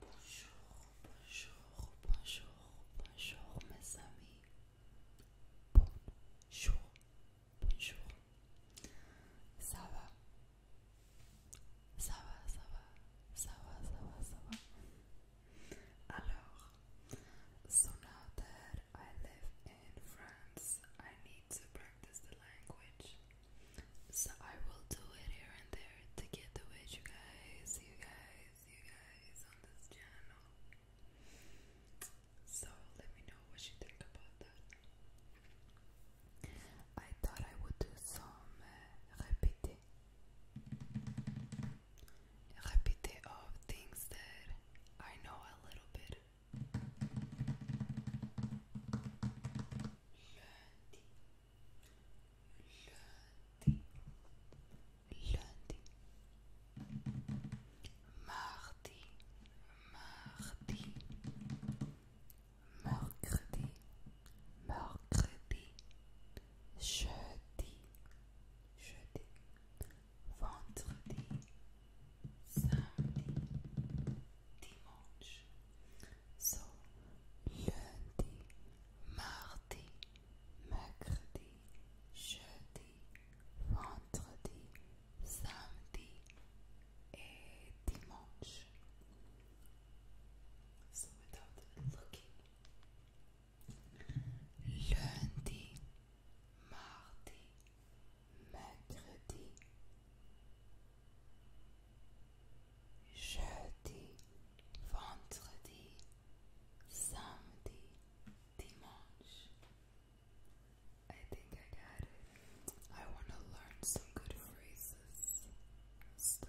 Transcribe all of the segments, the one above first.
Bonjour, bonjour, bonjour, bonjour mes amis. Bonjour, bonjour. Ça va Ça va, ça va, ça va, ça va, ça va. Alors, sonate I live in France, I need to practice the language. So I will do it here and there to get the you guys, you guys, you guys on this channel. So let me know what you think about that. I thought I would do some uh, repeating. of things that I know a little bit lundi, lundi, Lundi mardi, mardi, mercredi, mercredi, jeudi, jeudi, vendredi, samedi, dimanche. So, lundi, mardi, mercredi, jeudi, vendredi, samedi et dimanche. So without looking, lundi, mardi, mercredi, jeudi, vendredi, samedi, dimanche. I think I got it. I want to learn some good phrases stuff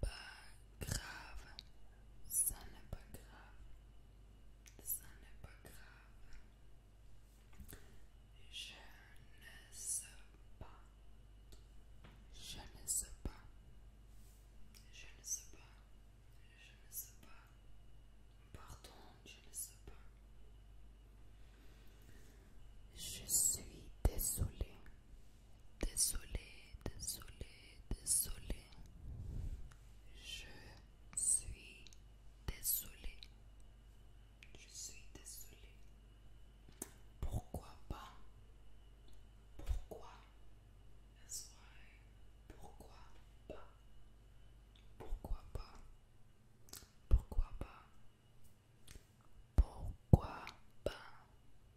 pas grave. Ça n'est pas grave. Ça n'est pas grave. Je ne sais pas. Je ne sais pas. Je ne sais pas. Je ne sais pas. Pardon, je ne sais pas. Je suis désolée. Désolé, désolé, désolé. Je suis désolé. Je suis désolé. Pourquoi pas Pourquoi Pourquoi pas Pourquoi pas Pourquoi pas Pourquoi pas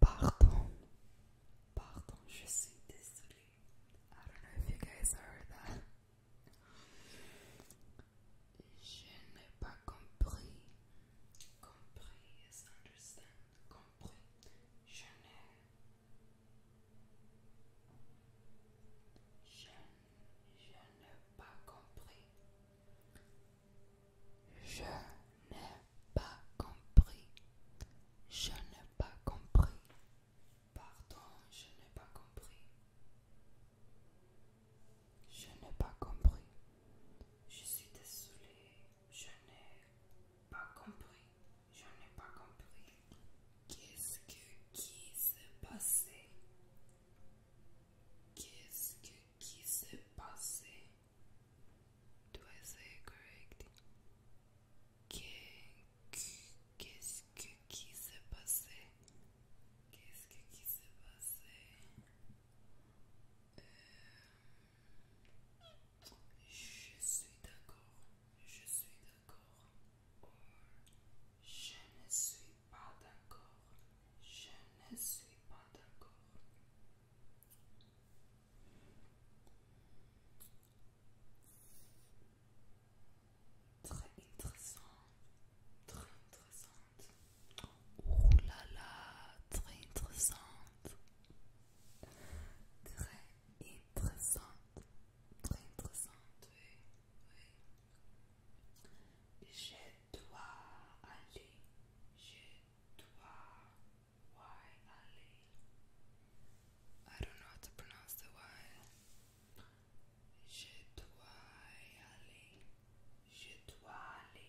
Pardon, pardon, je suis désolée. I don't know if you guys heard that. Je n'ai pas compris. Compris, yes, understand. Compris. Je n'ai je, n'ai pas compris. Je n'ai pas compris. Je n'ai pas compris. Pardon, je n'ai pas compris. Je n'ai pas compris. Je suis désolée. Je n'ai pas compris. Je n'ai pas compris. Qu'est-ce que qui s'est passé? Qu'est-ce que qui s'est passé? Do I say correct? Qu'est-ce que qui s'est passé? Qu'est-ce que qui s'est passé? Euh, je suis d'accord, je suis d'accord. je ne suis pas d'accord, je ne suis pas d'accord. Très intéressante, très intéressante. Oh là là, très intéressante. Très intéressante. Très intéressante, oui. oui. Je dois aller. Je dois aller. I don't know how to pronounce the Je dois aller. Je dois aller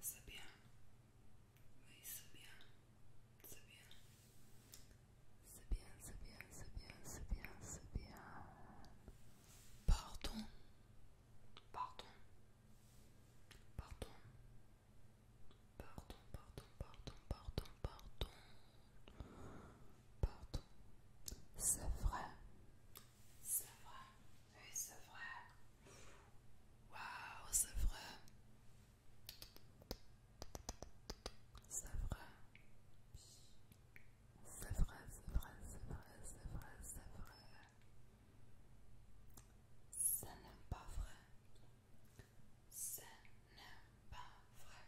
c'est bien. Oui, c'est bien. C'est bien. C'est bien, c'est bien, c'est bien, c'est bien, c'est bien. Pardon. Pardon. Pardon. Pardon, pardon, pardon, pardon, pardon. Pardon. C'est vrai. C'est vrai, oui, c'est vrai. Waouh, c'est vrai. C'est vrai. C'est vrai, c'est vrai, c'est vrai, c'est vrai, c'est vrai. c'est n'est pas vrai. ça n'est pas vrai.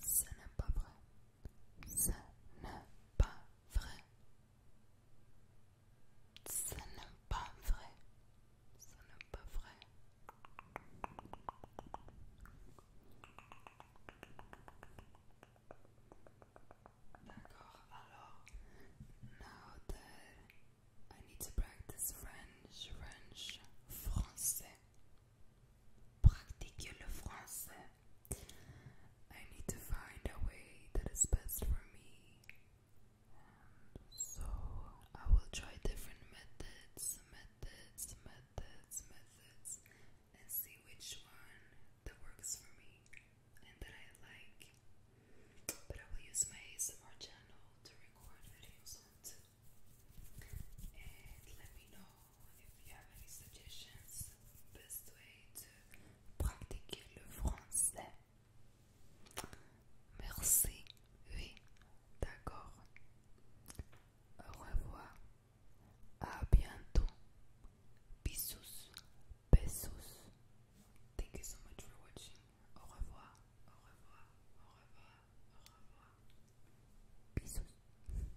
ça n'est pas vrai. ça n'est pas vrai. Ce n'est pas vrai. Ça n'est pas vrai. D'accord, alors, now that I need to practice French, French, français. Pratiquez le français. I need to find a way that is best for me. And so I will try different methods, methods, methods, methods, and see which one that works for me and that I like. But I will use my ASMR channel to record videos on too. And let me know si vous avez des suggestions, best way to pratiquer le français. Merci, oui, d'accord. Au revoir, à bientôt. Bisous, bisous. Thank you so much for watching. Au revoir, au revoir, au revoir, au revoir. Bisous.